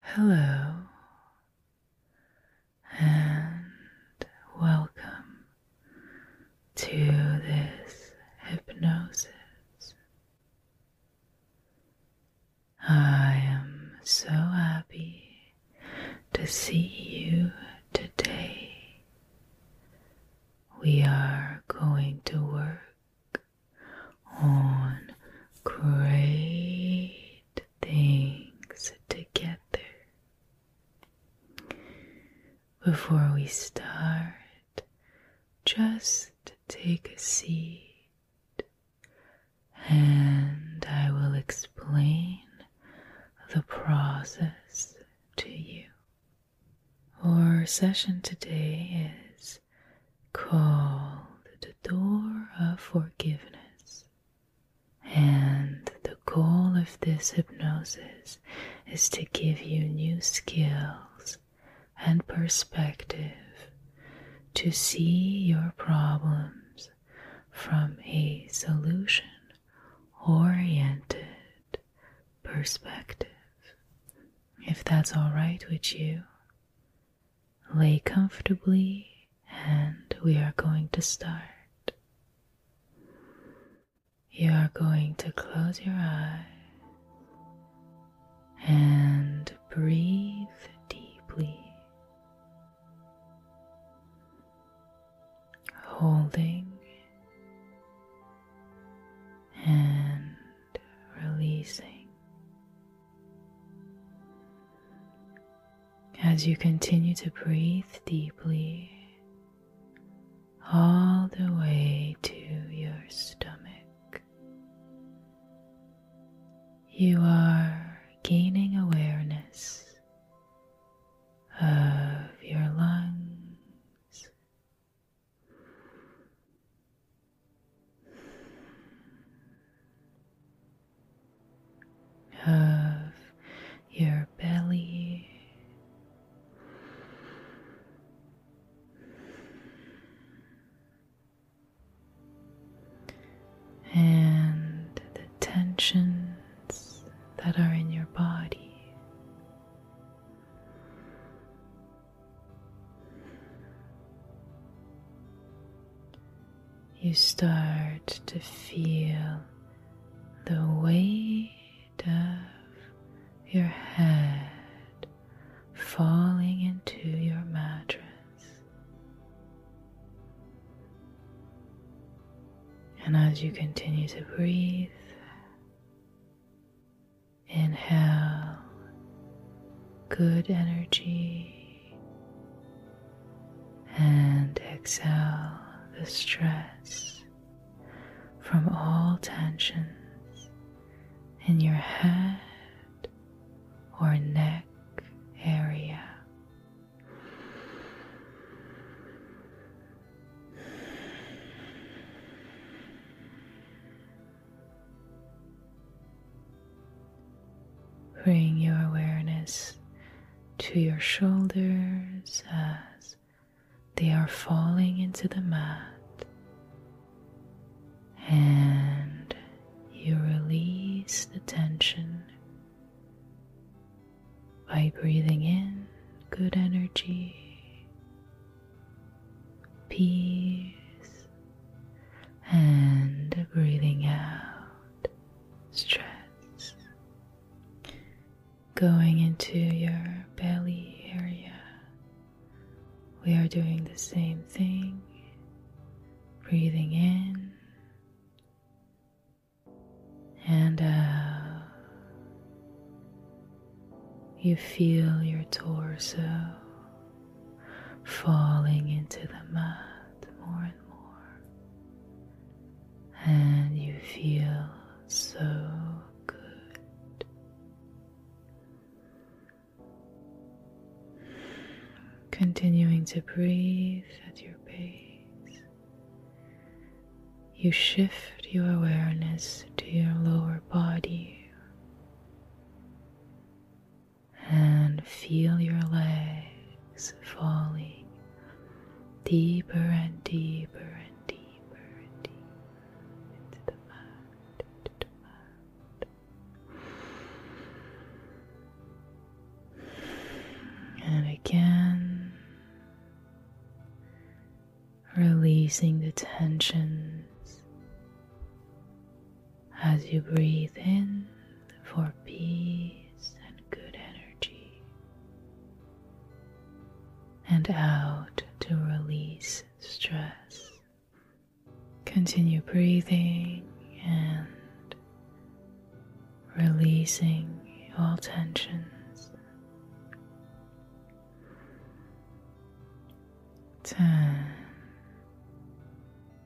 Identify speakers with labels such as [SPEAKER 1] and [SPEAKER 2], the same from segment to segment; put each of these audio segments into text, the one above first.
[SPEAKER 1] Hello and welcome to this hypnosis. I am so happy to see you today. We are going to work on great things together. Before we start, just take a seat and I will explain the process to you. Our session today is Call the door of forgiveness. And the goal of this hypnosis is to give you new skills and perspective to see your problems from a solution oriented perspective. If that's all right with you, Lay comfortably, and we are going to start. You are going to close your eyes and breathe deeply. Holding and releasing. As you continue to breathe deeply all the way to your stomach, you are gaining awareness of your lungs of your belly. And the tensions that are in your body, you start to feel the weight of your head falling into your mattress. And as you continue to breathe, inhale good energy and exhale the stress from all tensions in your head or neck area. Bring your awareness to your shoulders as they are falling into the mat, and you release the tension by breathing in good energy, peace, and breathing out stress going into your belly area we are doing the same thing breathing in and out you feel your torso falling into the mud more and more, and you feel so good. Continuing to breathe at your pace, you shift your awareness to your lower body and feel your legs falling deeper and deeper and deeper and deeper into the mud, into the mud. And again, releasing the tensions as you breathe in for peace and good energy, and out to release stress. Continue breathing and releasing all tensions. Ten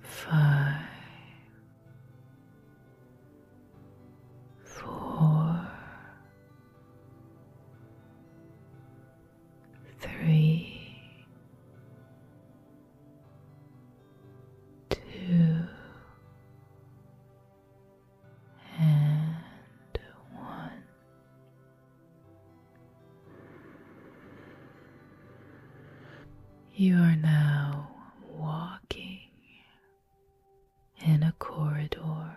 [SPEAKER 1] five, four, three, two, and one. You are now walking in a corridor.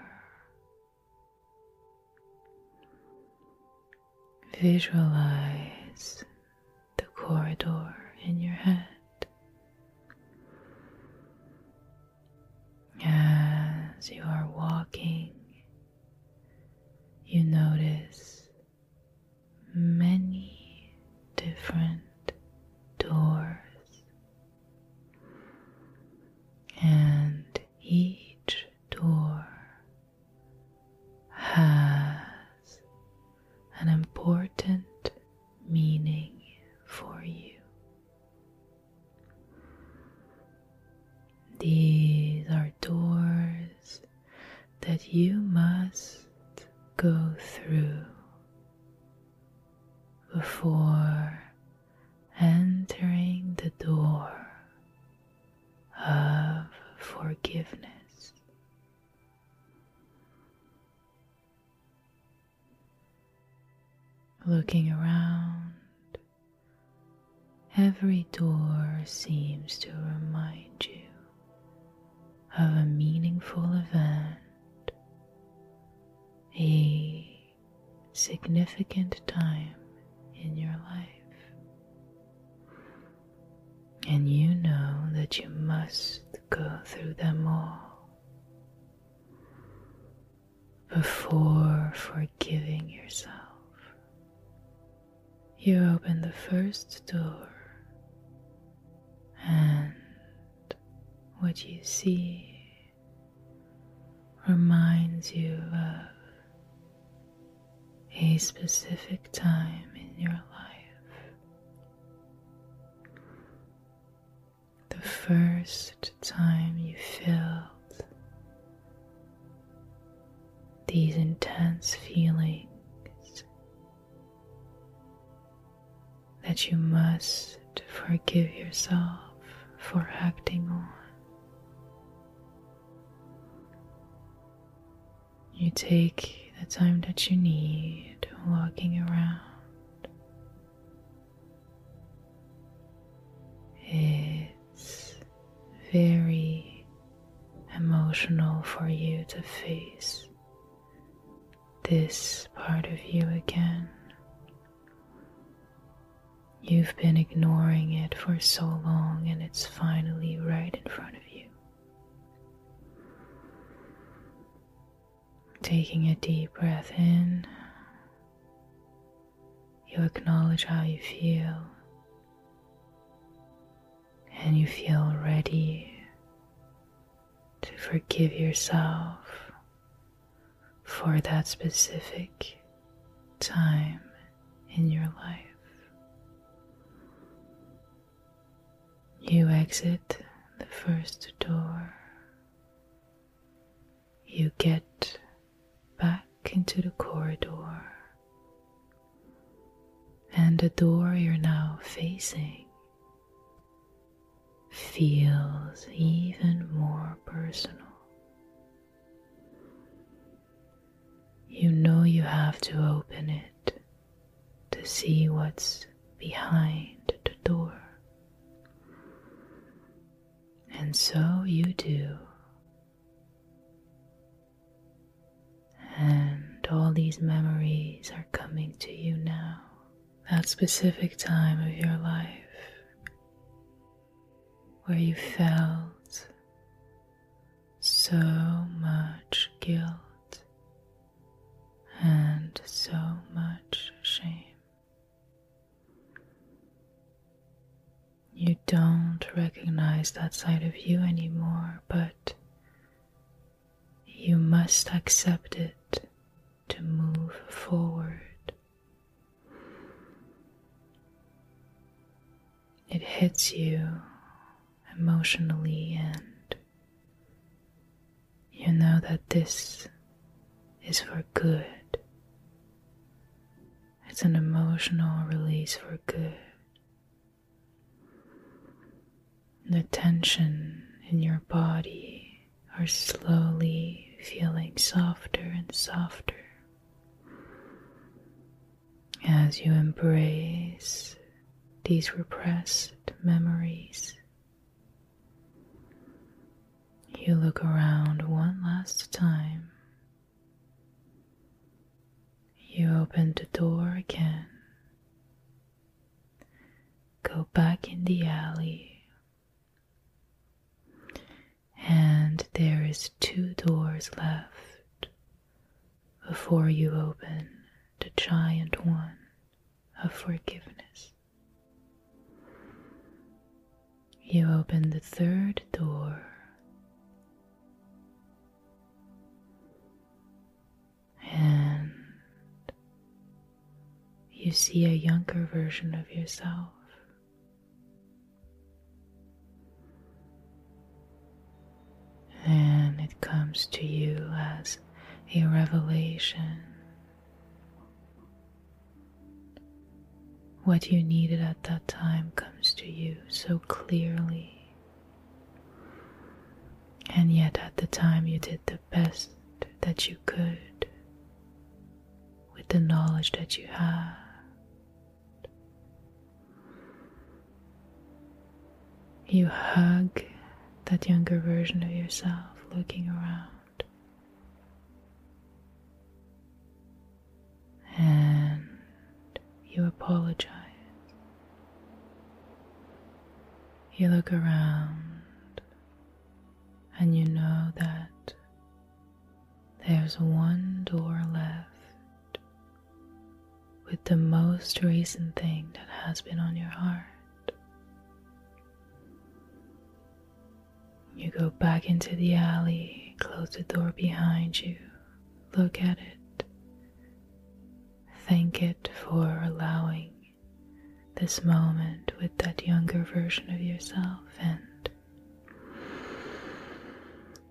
[SPEAKER 1] Visualize the corridor in your head as you are walking you notice many different doors, and each door has an important meaning for you. These are doors that you must go through before entering the door of forgiveness. Looking around, Every door seems to remind you of a meaningful event, a significant time in your life. And you know that you must go through them all before forgiving yourself you open the first door, and what you see reminds you of a specific time in your life. The first time you felt these intense feelings that you must forgive yourself for acting on. You take the time that you need walking around. It it's very emotional for you to face this part of you again. You've been ignoring it for so long, and it's finally right in front of you. Taking a deep breath in you acknowledge how you feel, and you feel ready to forgive yourself for that specific time in your life. You exit the first door. You get back into the corridor. And the door you're now facing feels even more personal. You know you have to open it to see what's behind the door. And so you do. And all these memories are coming to you now, that specific time of your life where you felt so much guilt and so much shame you don't recognize that side of you anymore, but you must accept it to move forward. It hits you emotionally, and you know that this is for good. It's an emotional release for good. The tension in your body are slowly feeling softer and softer as you embrace these repressed memories. You look around one last time you open the door again. Go back in the alley. And there is two doors left before you open the giant one of forgiveness. You open the third door and you see a younger version of yourself. And it comes to you as a revelation what you needed at that time comes to you so clearly. And yet, at the time, you did the best that you could with the knowledge that you had. You hug that younger version of yourself looking around and you apologize. You look around and you know that there's one door left with the most recent thing that has been on your heart. You go back into the alley, close the door behind you, look at it. Thank it for allowing this moment with that younger version of yourself, and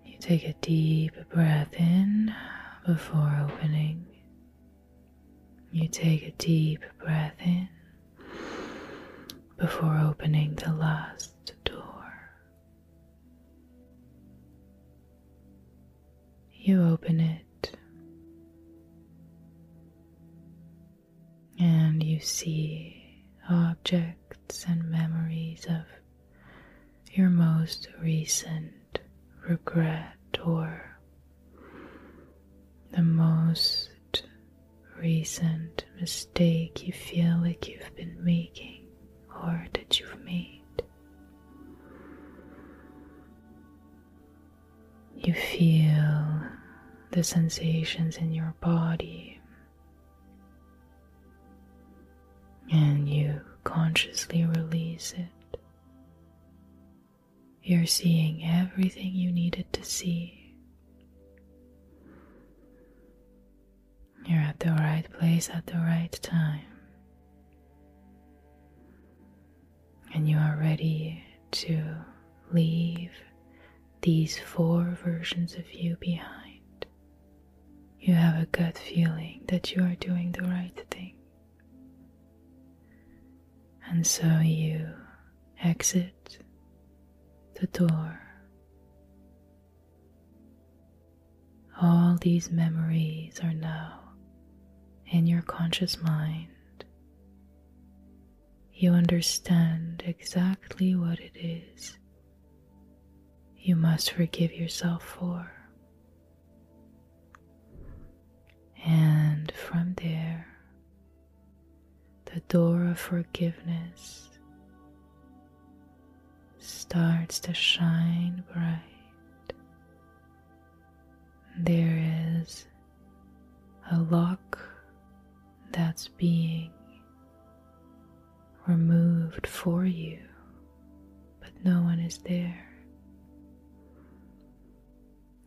[SPEAKER 1] you take a deep breath in before opening. You take a deep breath in before opening the last door. You open it and you see objects and memories of your most recent regret or the most recent mistake you feel like you've been making or that you've made. You feel the sensations in your body, and you consciously release it. You're seeing everything you needed to see. You're at the right place at the right time. And you are ready to leave these four versions of you behind. You have a gut feeling that you are doing the right thing. And so you exit the door all these memories are now in your conscious mind. You understand exactly what it is you must forgive yourself for. And from there, the door of forgiveness starts to shine bright. There is a lock that's being removed for you, but no one is there.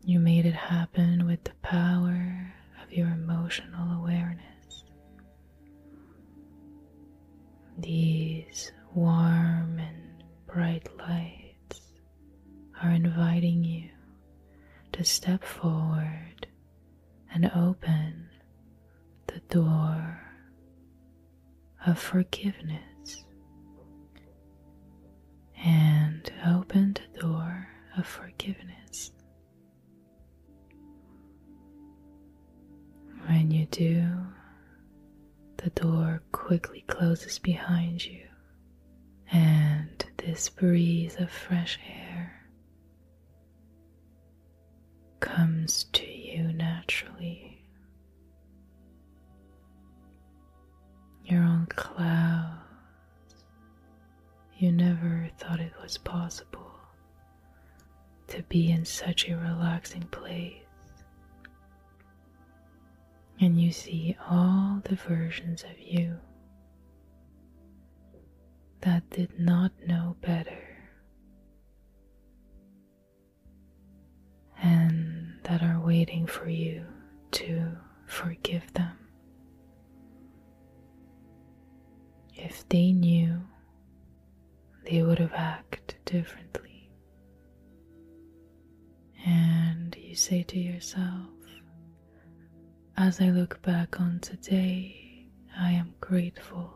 [SPEAKER 1] You made it happen with the power of your emotional awareness. These warm and bright lights are inviting you to step forward and open the door of forgiveness and open the door of forgiveness when you do, the door quickly closes behind you, and this breeze of fresh air comes to you naturally. You're on clouds you never thought it was possible to be in such a relaxing place. And you see all the versions of you that did not know better and that are waiting for you to forgive them. If they knew they would have acted differently. And you say to yourself, as I look back on today, I am grateful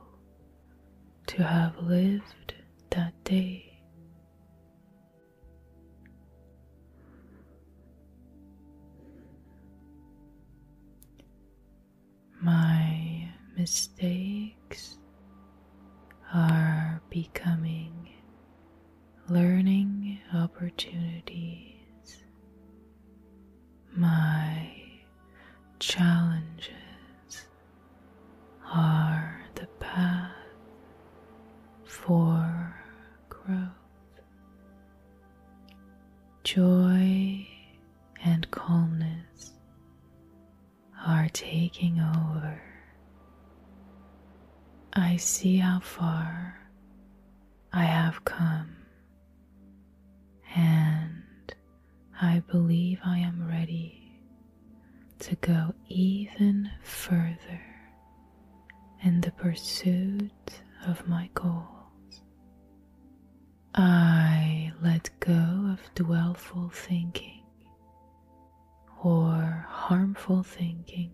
[SPEAKER 1] to have lived that day. My mistakes are becoming learning opportunities. My challenges are the path for growth. Joy and calmness are taking over. I see how far I have come, and I believe I am ready to go even further in the pursuit of my goals. I let go of dwellful thinking or harmful thinking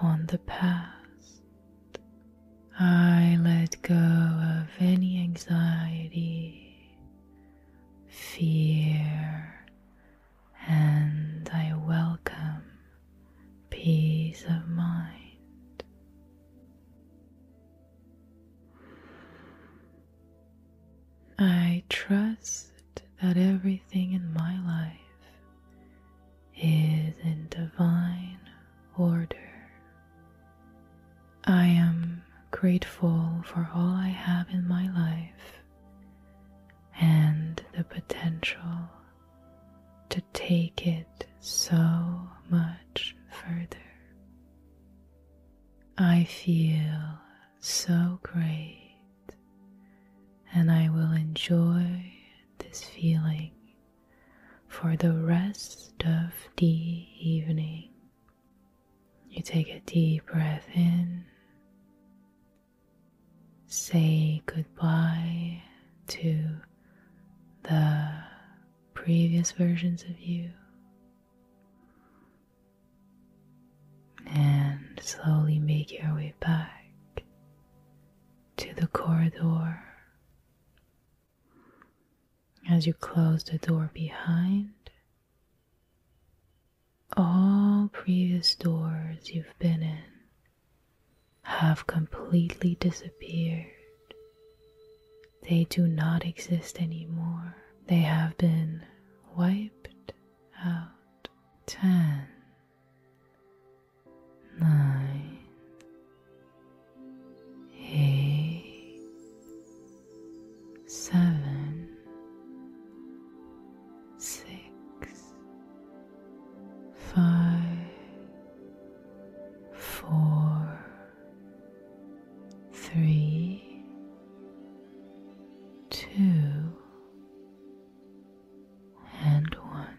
[SPEAKER 1] on the past. I let go of any anxiety, fear, and I welcome peace of mind. I trust that everything in my life is in divine order. I am grateful for all I have in my life and the potential to take it so much further. I feel so great, and I will enjoy this feeling for the rest of the evening. You take a deep breath in, say goodbye to the previous versions of you. And slowly make your way back to the corridor. As you close the door behind, all previous doors you've been in have completely disappeared they do not exist anymore. They have been wiped out. Ten, nine, eight, seven, six, five, four three, two, and one.